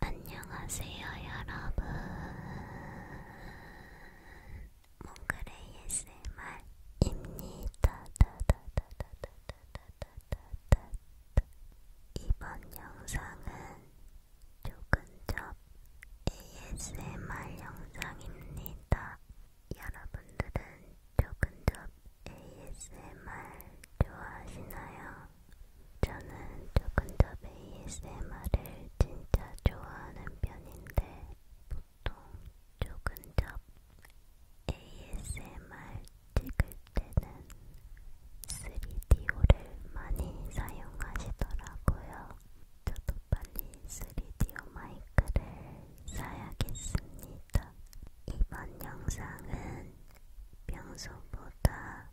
안녕하세요, 여러분. 몽글의 ASMR입니다. 이번 영상은 조근접 ASMR 영상입니다. 여러분들은 조근접 ASMR 좋아하시나요? 저는 조금 더 ASMR을 진짜 좋아하는 편인데 보통 조금 더 ASMR 찍을 때는 3DO를 많이 사용하시더라고요. 저도 빨리 3DO 마이크를 사야겠습니다. 이번 영상은 평소보다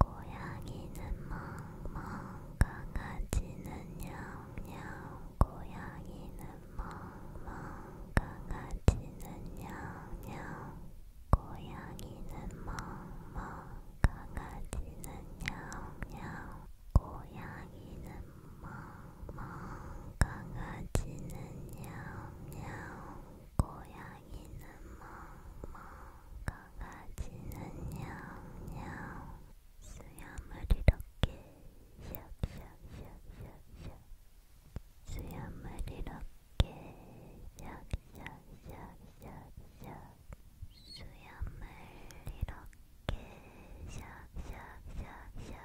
고양이는 멍멍 강아지는 냥냥 고양이는 멍멍 강아지는 냥냥 고양이는 멍멍 강아지는 냥냥 고양이는 멍뭐 강아지는 야옹야옹 고양이는 뭐뭐 강아지는 야옹야옹 수염을 이렇게 샥샥샥샥샥 수염을 이렇게 샥샥샥샥샥 수염을 이렇게 샥샥샥샥샥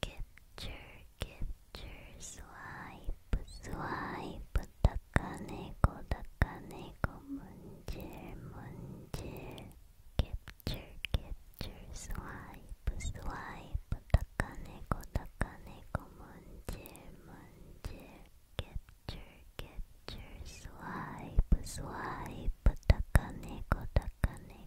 capture, capture, swipe, swipe, takaneko, takaneko, munjir, munjir, capture, capture, swipe, swipe, takaneko, takaneko, munjir, munjir, capture, capture, swipe, swipe, takaneko, takaneko.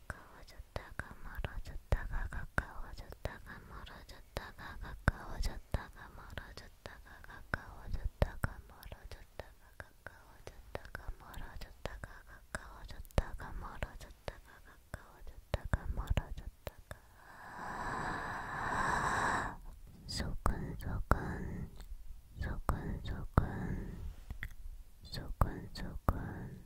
가까워졌다가 멀어졌다가 가까워졌다가 멀어졌다가 가까워졌다가 멀어졌다가 가까워졌다가 멀어졌다가 가까워졌다가 멀어졌다가 가까워졌다가 멀어졌다가 가까워졌다가 멀어졌다가 소근소근 소근소근 소근소근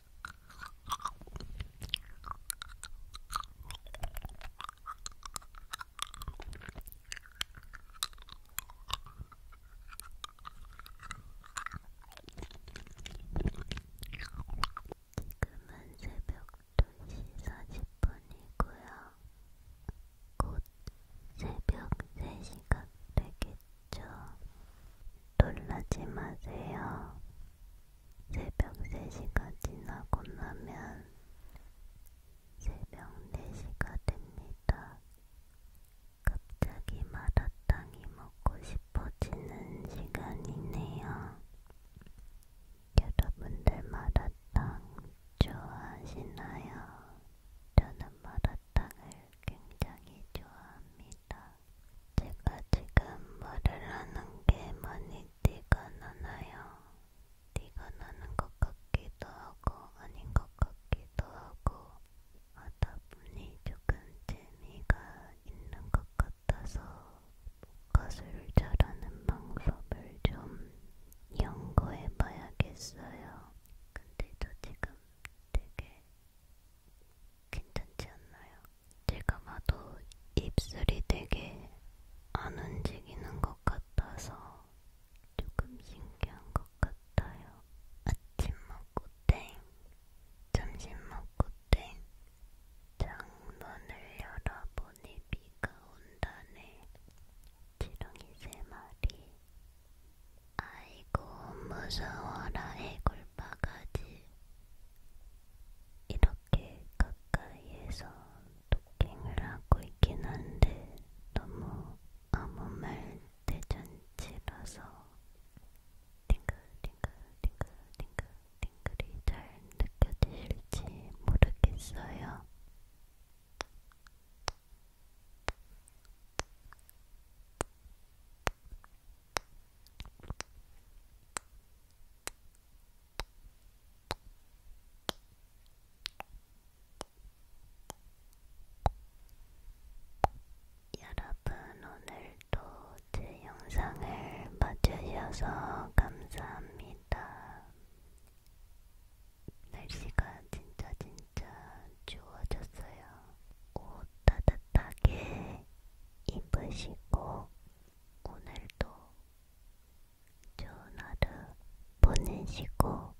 지금은 새벽 2시 40분이고요. 곧 새벽 3시가 되겠죠. 놀라지 마세요. 새벽 3시가 지나고 나면 새벽 4시가 됩니다. 갑자기 마라탕이 먹고 싶어지는 시간이네요. 여러분들 마라탕 좋아하시나요? 저는 마라탕을 굉장히 좋아합니다. 제가 지금 말을 하는 게 많이 티가 나나요? 티가 나는 것 같기도 하고 아닌 것 같기도 하고 하다 보니 조금 재미가 있는 것 같아서 가수를 잘하는 방법을 좀 연구해 봐야겠어요. 근데 저 지금 되게 괜찮지 않나요? 제가 봐도 입술이 되게 안 움직이는 것 같아서 조금 신기한 것 같아요. 아침 먹고 땡, 점심 먹고 땡, 창문을 열어보니 비가 온다네. 지렁이 세 마리. 아이고 무서워라 해골 알바가지 이렇게 가까이에서 토킹을 하고 있긴 한데 너무 아무 말 대잔치라서 띵글 띵글 띵글 띵글 띵글이 잘 느껴지실지 모르겠어요. 여러분 오늘도 제 영상을 봐주셔서 감사합니다. 날씨가 진짜 진짜 추워졌어요. 옷 따뜻하게 입으시고 오늘도 좋은 하루 보내시고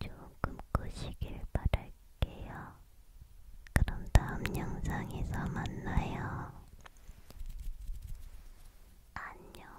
좋은 꿈 꾸시길 바랄게요. 그럼 다음 영상에서 만나요. 안녕.